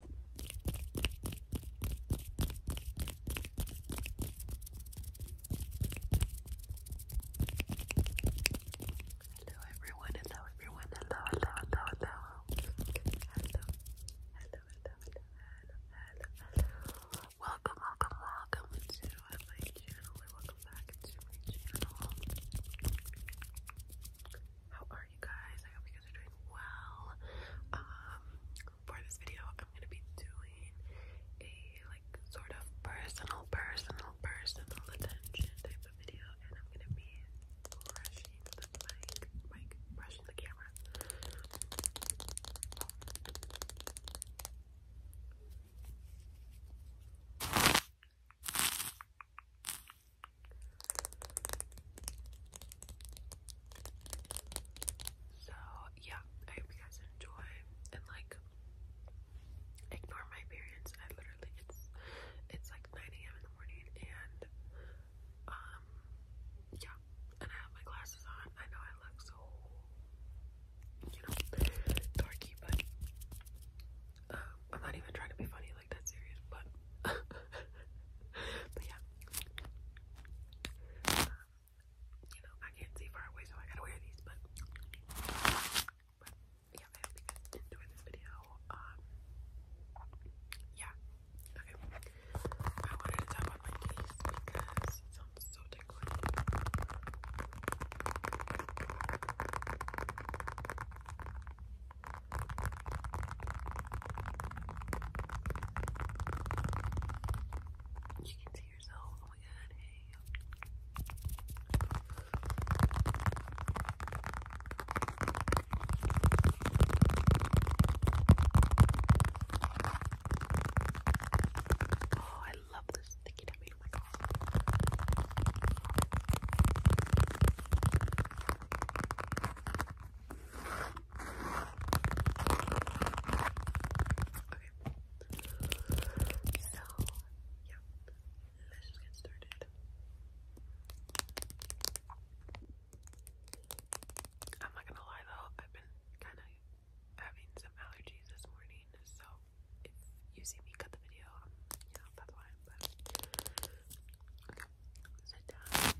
Hello everyone, hello everyone, hello, hello, hello, hello. Hello, hello, hello, hello, Welcome, welcome, welcome to my channel welcome back to my channel. How are you guys? I hope you guys are doing well. Um, for this video, I'm gonna be doing a like sort of personal, personal, personal attention type of video, and I'm gonna be brushing the mic, mic, brushing the camera. So yeah, I hope you guys enjoy and like ignore my parents. I literally it's it's like 9 a.m. in the morning and um yeah, and I have my glasses on. I know I look so you know dorky, but um, I'm not even trying to be funny really like that serious, but yeah. you know, I can't see far away, so I gotta wear these. But, yeah, I hope you guys enjoyed this video. Um, yeah. I wanted to talk about my case because it sounds so tickling. You can see yourself. Oh my god, hey. Oh, I love this sticky tummy. Oh my god. Okay. So, yeah. Let's just get started. I'm not gonna lie though, I've been kind of having some allergies this morning, so if you see me cut the video, you know, that's why, okay, sit down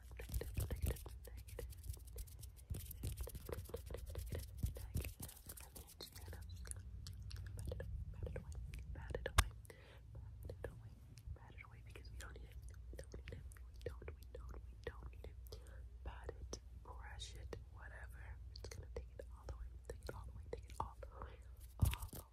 negative, negative, negative. Brush it, whatever. It's gonna take it all the way, take it all the way, take it all the way, all the way.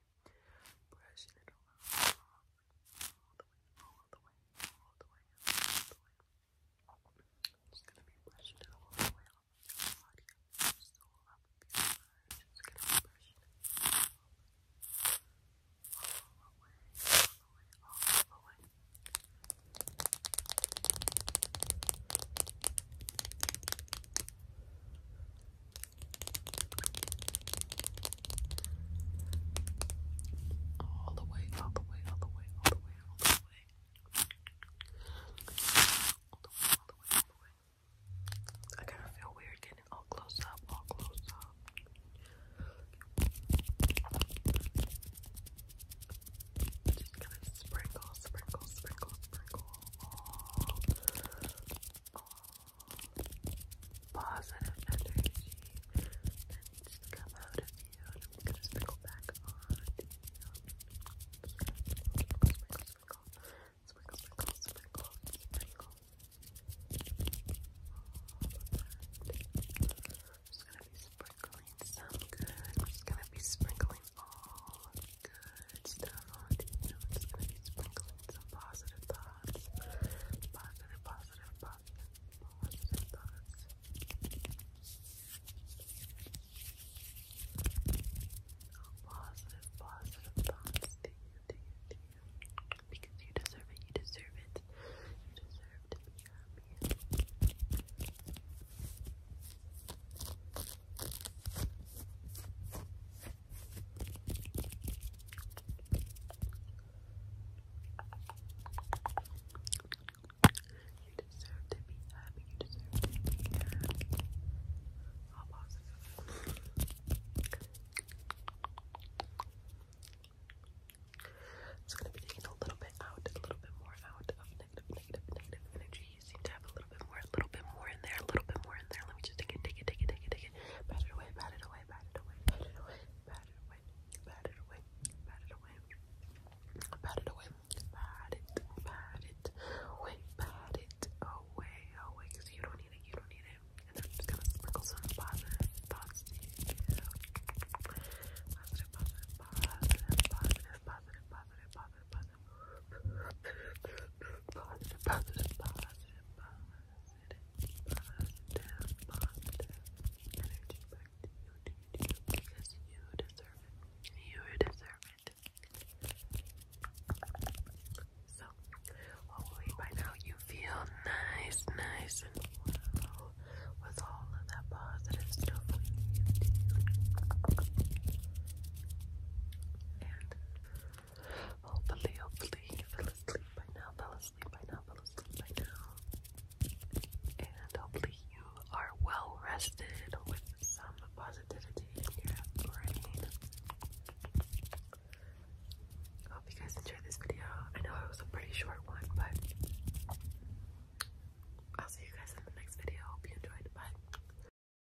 way, brushing it all out, all the way, all the way, all the way, all the way. just gonna be brushing it all the way off of your body, just gonna be brushing it all the way, all the way, all the way all the way, all the way, all the way, all the way, all the way. I kind of feel weird getting all close up, all close up. Just gonna sprinkle, sprinkle, sprinkle, sprinkle positive energy that needs come out of you. I'm gonna sprinkle back on Sprinkle, sprinkle, sprinkle, sprinkle, sprinkle, sprinkle, I'm just gonna be sprinkling some good. I'm just gonna be sprinkling all good stuff onto you. It's gonna be sprinkling some positive thoughts. Positive, positive, positive, positive thoughts. Positive, positive thoughts to you, to you, to you. Because you deserve it, you deserve it. You deserve to be happy. You deserve to be happy. You deserve to It's gonna be taking a little bit out, a little bit more out of negative, negative, negative energy you seem to have a little bit more, a little bit more in there, a little bit more in there. Let me just take it, take it, take it, take it, take it. Pat it away, pat it away, pat it away, pat it away, pat it away, pat it away, pat it away, pat it away, pat it, pat it away, away, away, because you don't need it, you don't need it. And then I'm just gonna sprinkle some positive thoughts to you. Positive, positive, positive, positive, positive, positive, positive, positive. Positive, positive, positive, positive, positive, positive energy back to you, to you, because you deserve it. You deserve it. So, hopefully by now you feel nice, nice, and well with all of that positive stuff you And Hopefully, hopefully fell asleep by now, fell asleep by now, fell asleep by now. And hopefully you are well rested with some positivity in your brain. I hope you guys enjoyed this video. I know it was a pretty short one, but I'll see you guys in the next video. Hope you enjoyed. Bye.